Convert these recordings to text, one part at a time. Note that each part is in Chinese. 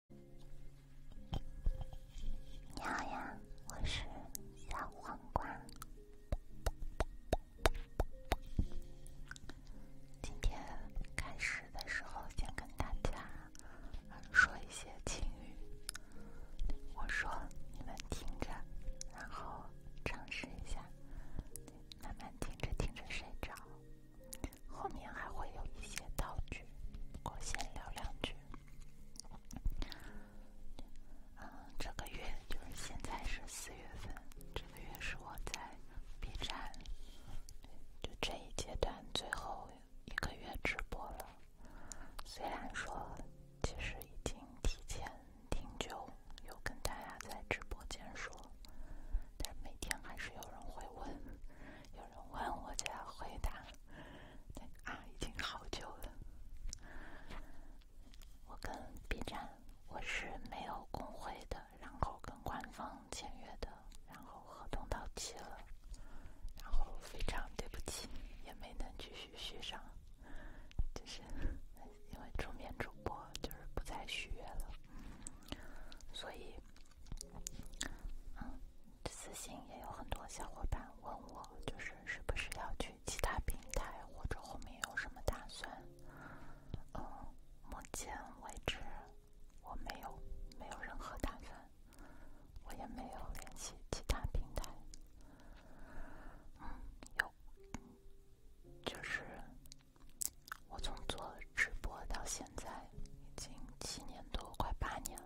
你好呀，我是小黄瓜。今天开始的时候，先跟大家说一些轻语。我说你们听着，然后尝试一下，慢慢听着听着睡着。后面还会有一些道具，我先聊两句。嗯，这个月就是现在是四月份，这个月是我在 B 站就这一阶段最后一个月直播了。虽然说其实已经提前挺久有跟大家在直播间说，但每天还是有人会问。有人问我就要回答，啊，已经好久了。我跟 B 站我是没有工会的，然后跟官方签约的，然后合同到期了，然后非常对不起，也没能继续续上，就是因为助眠主播就是不再续约了，所以，嗯。私信也有很多小伙伴问我，就是是不是要去其他平台，或者后面有什么打算？嗯，目前为止，我没有没有任何打算，我也没有联系其他平台。嗯，有，就是我从做直播到现在，已经七年多，快八年了。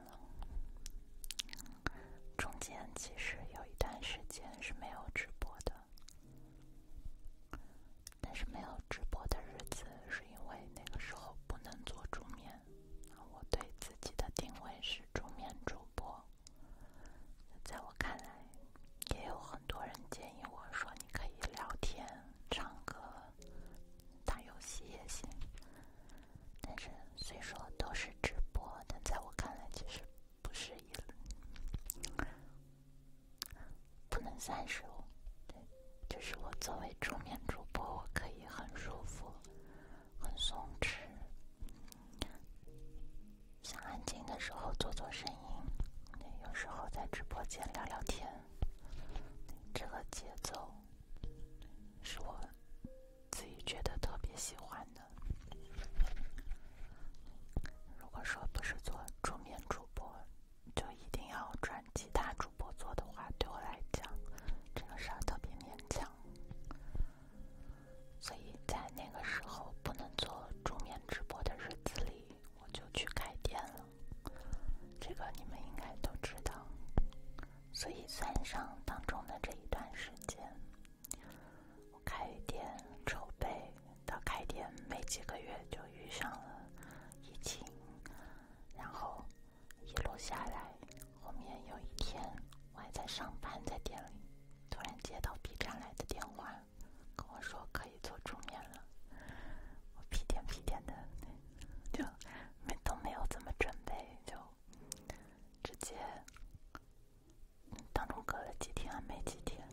中间其实有一段时间是没有直播的，但是没有直播的日子，是因为那个时候不能做助眠，我对自己的定位是助眠主播，在我看来，也有很多人建议我说你可以聊天、唱歌。打游戏也行，但是虽说都是直播，但在我看来其实不是一不能算是。对，就是我作为桌面主播，我可以很舒服、很松弛，想安静的时候做做声音，有时候在直播间聊聊天，这个节奏。是我自己觉得特别喜欢的。如果说不是做助眠主播，就一定要转其他主播做的话，对我来讲，这个事儿特别勉强。所以在那个时候不能做助眠直播的日子里，我就去开店了。这个你们应该都知道。所以，算上当中的这一段时间，我开店筹备到开店没几个月，就遇上了疫情，然后一路下来，后面有一天我还在上班，在店里，突然接到 B 站来的电话，跟我说可以做桌面了，我屁颠屁颠的就。没都没有怎么准备，就直接当中隔了几天，没几天，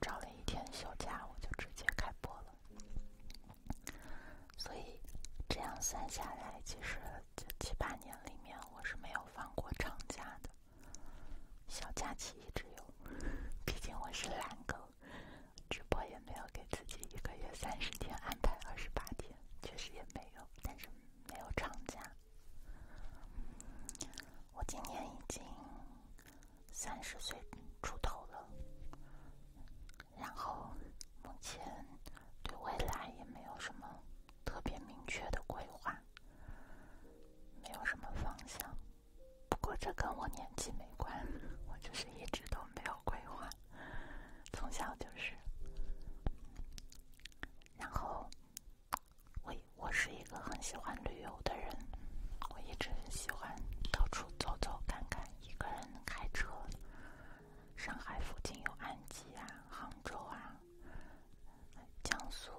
找了一天休假，我就直接开播了。所以这样算下来，其实就七八年里面，我是没有放过长假的，小假期一直有，毕竟我是懒狗。直播也没有给自己一个月三十天安排二十八天，确实也没有。但是没有长假，我今年已经三十岁出头了，然后目前对未来也没有什么特别明确的规划，没有什么方向。不过这跟我年纪没关，我就是一直都没有。规划，从小就是。然后，我我是一个很喜欢旅游的人，我一直喜欢到处走走看看，一个人开车。上海附近有安吉啊、杭州啊、江苏，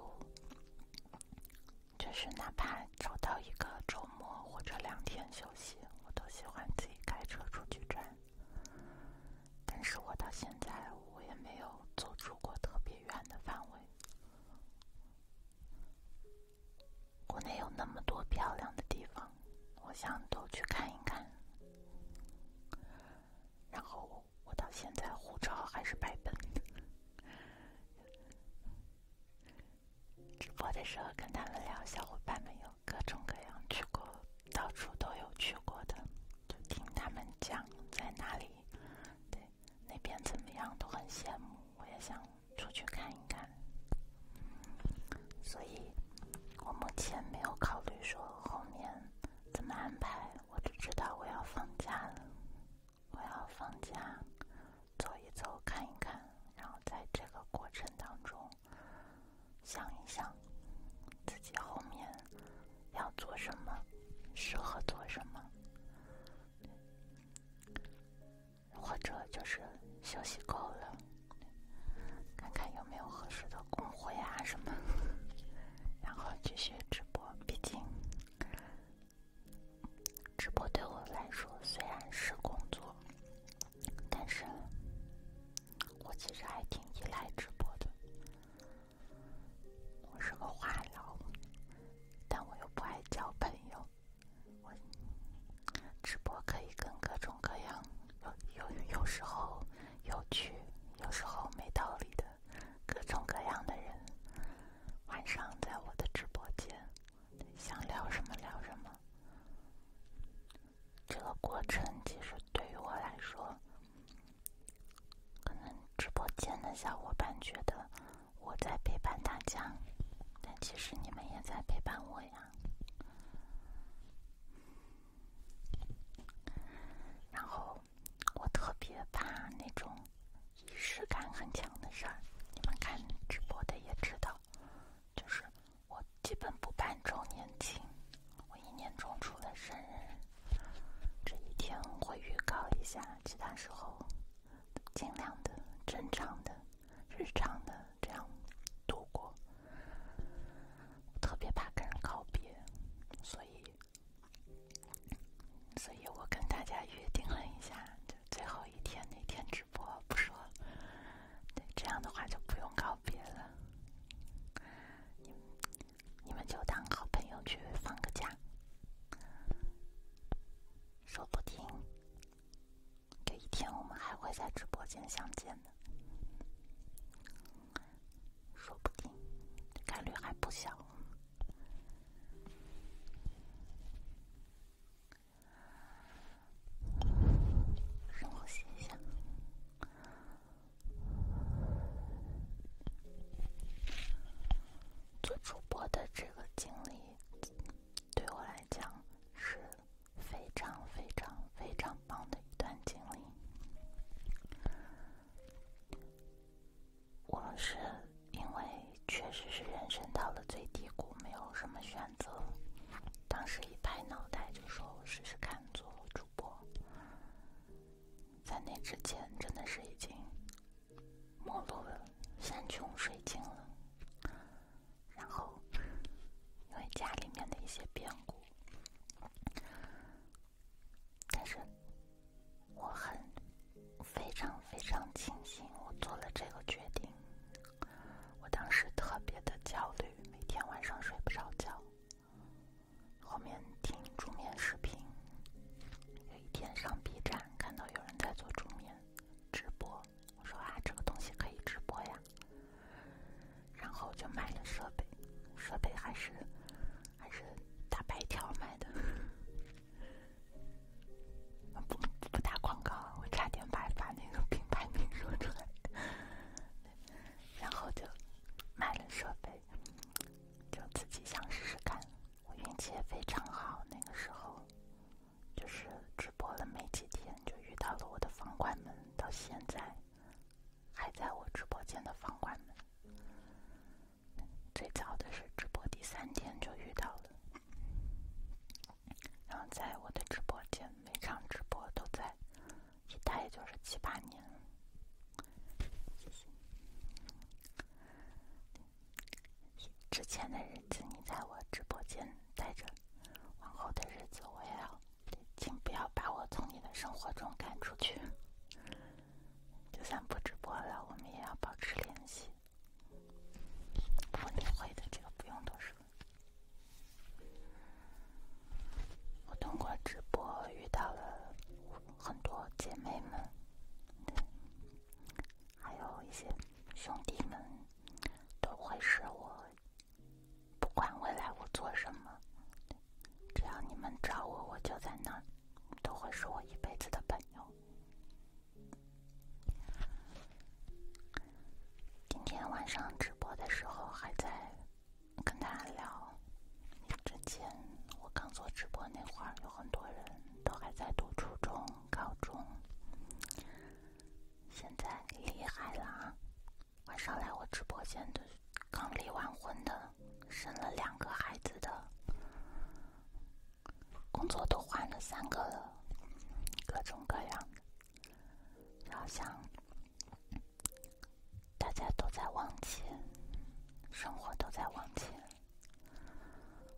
就是哪怕找到一个周末或者两天休息，我都喜欢自己开车出去转。但是我到现在我也没有走出过特别远的范围。国内有那么多漂亮的地方，我想都去看一看。然后我到现在护照还是白本。直播的时候跟他们聊，小伙伴们有。各种各样去过，到处都有去过的，就听他们讲在哪里，对，那边怎么样，都很羡慕。我也想出去看一看，所以我目前没有考虑说后面怎么安排。我只知道我要放假了，我要放假，走一走，看一看，然后在这个过程当中。想一想，自己后面要做什么，适合做什么，或者就是休息够了，看看有没有合适的工会啊什么，然后继续直播。毕竟，直播对我来说虽然是工作。但是，我其实还挺依赖直播的。我是个话痨，但我又不爱交朋友。我直播可以跟各种各样有有有时候有趣，有时候没道理的，各种各样的人。晚上在我的直播间，想聊什么聊什么。这个过程其实对于我来说，可能直播间的小伙伴觉得我在陪伴大家，但其实你们也在陪伴我呀。然后我特别怕那种仪式感很强的事儿，你们看直播的也知道，就是。我基本不办周年庆，我一年中除了生日这一天会预告一下，其他时候尽量的正常的、日常的这样度过。特别怕跟人告别，所以，所以我跟大家约定了一下，就最后一天那天直播，不说。对这样的话就不用告别了，你们你们就当好朋友去放个假，说不定有一天我们还会在直播间相见的，说不定概率还不小。让我写一下。做主播的这个经历，对我来讲是非常非常非常棒的一段经历。我是因为确实是人生到了最低谷，没有什么选择，当时一拍脑袋就说我试试看。做主播，在那之前真的是已经没落了，山穷水尽了。然后因为家里面的一些变故，但是我很非常非常庆幸我做了这个决定。我当时特别的焦虑，每天晚上睡不着觉。后面听助眠视频，有一天上 B 站看到有人在做助眠直播，我说啊，这个东西可以直播呀。然后就买了设备，设备还是还是大白条买的，不不打广告，我差点把把那个品牌名说出来。然后就买了设备，就自己想试试看。我运气也非常好，那个时候就是直播了没几天，就遇到了我的房管们。到现在还在我直播间的房管们，最早的是直播第三天就遇到了，然后在我的直播间每场直播都在。一待就是七八年。之前的日子你在我直播间待着，往后的日子我也要，请不要把我从你的生活中赶出去。就算不直播了，我们也要保持联系。我你会的，这个不用多说。我通过直播遇到了很多姐妹们，还有一些兄弟们，都会是我不管未来我做什么，只要你们找我，我就在那儿，都会是我一辈子的朋友。今天晚上直播的时候还在。跟大家聊，之前我刚做直播那会儿，有很多人都还在读初中、高中。现在厉害了啊！晚上来我直播间的，刚离完婚的，生了两个孩子的，工作都换了三个了，各种各样的，后想……大家都在往前，生活都在往前。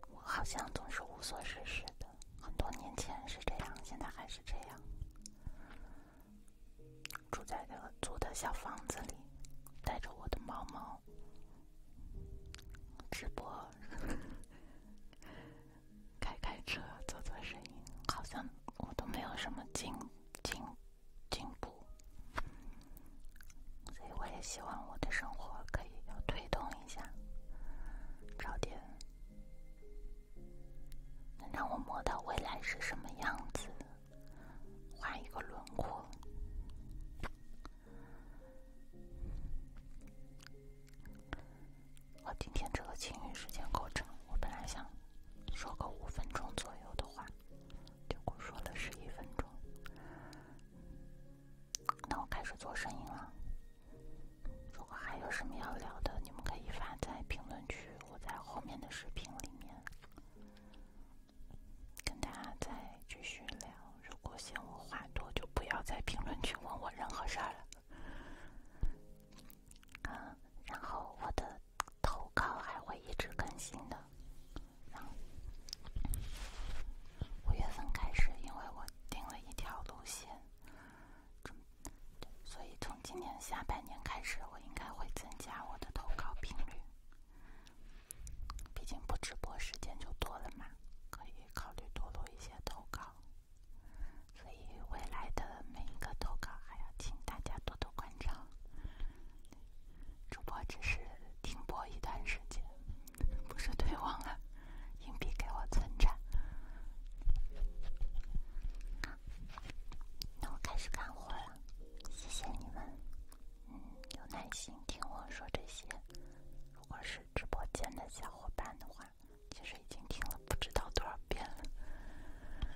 我好像总是无所事事的，很多年前是这样，现在还是这样。住在这租的小房子里，带着我的猫猫，直播，开开车，做做生意，好像我都没有什么劲。进进步，所以我也希望我的生活可以要推动一下，找点能让我摸到未来是什么样子，画一个轮廓。我今天这个清韵时间够长，我本来想。说个五分钟左右的话，结果说了十一分钟。那我开始做声音了。如果还有什么要聊的，你们可以发在评论区，我在后面的视频里面跟大家再继续聊。如果嫌我话多，就不要在评论区问我任何事儿了。啊，然后我的。投稿还会一直更新的，然后五月份开始，因为我定了一条路线，所以从今年下半年开始，我应该会增加我的投稿频率。毕竟不直播时间就多了嘛，可以考虑多录一些投稿。所以未来的每一个投稿，还要请大家多多关照。主播只是停播一段时间，不是退网了。硬币给我存着。那我开始干活了，谢谢你们，嗯，有耐心听我说这些。如果是直播间的小伙伴的话，其实已经听了。不知道多少遍了，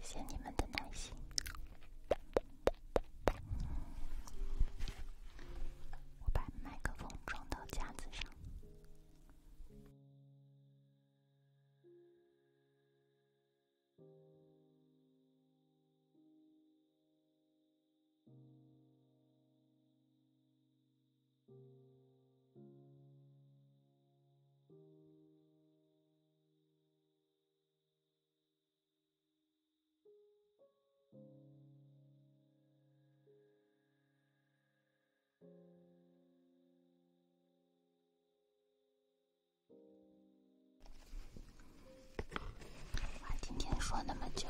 谢谢你们的耐心。我把麦克风装到架子上。哇，今天说那么久，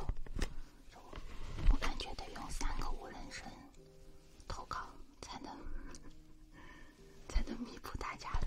我感觉得用三个无人身投稿才能。才能弥补大家的。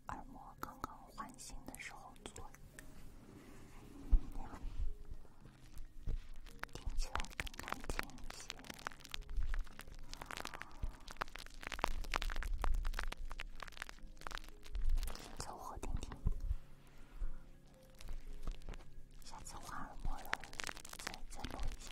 耳膜刚刚换新的时候做，听起来更干净一些。你先做我听听，下次换耳膜了再再摸一下。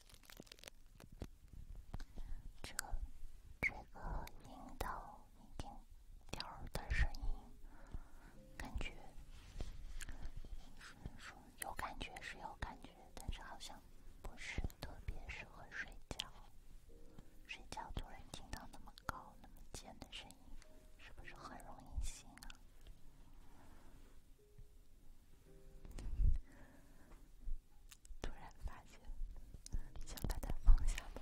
这这个听到一点点儿的声音，感觉，应该说有感觉是有感觉，但是好像不是特别适合睡觉。睡觉突然听到那么高那么尖的声音，是不是很容易醒啊？突然发现，想把它放下吗？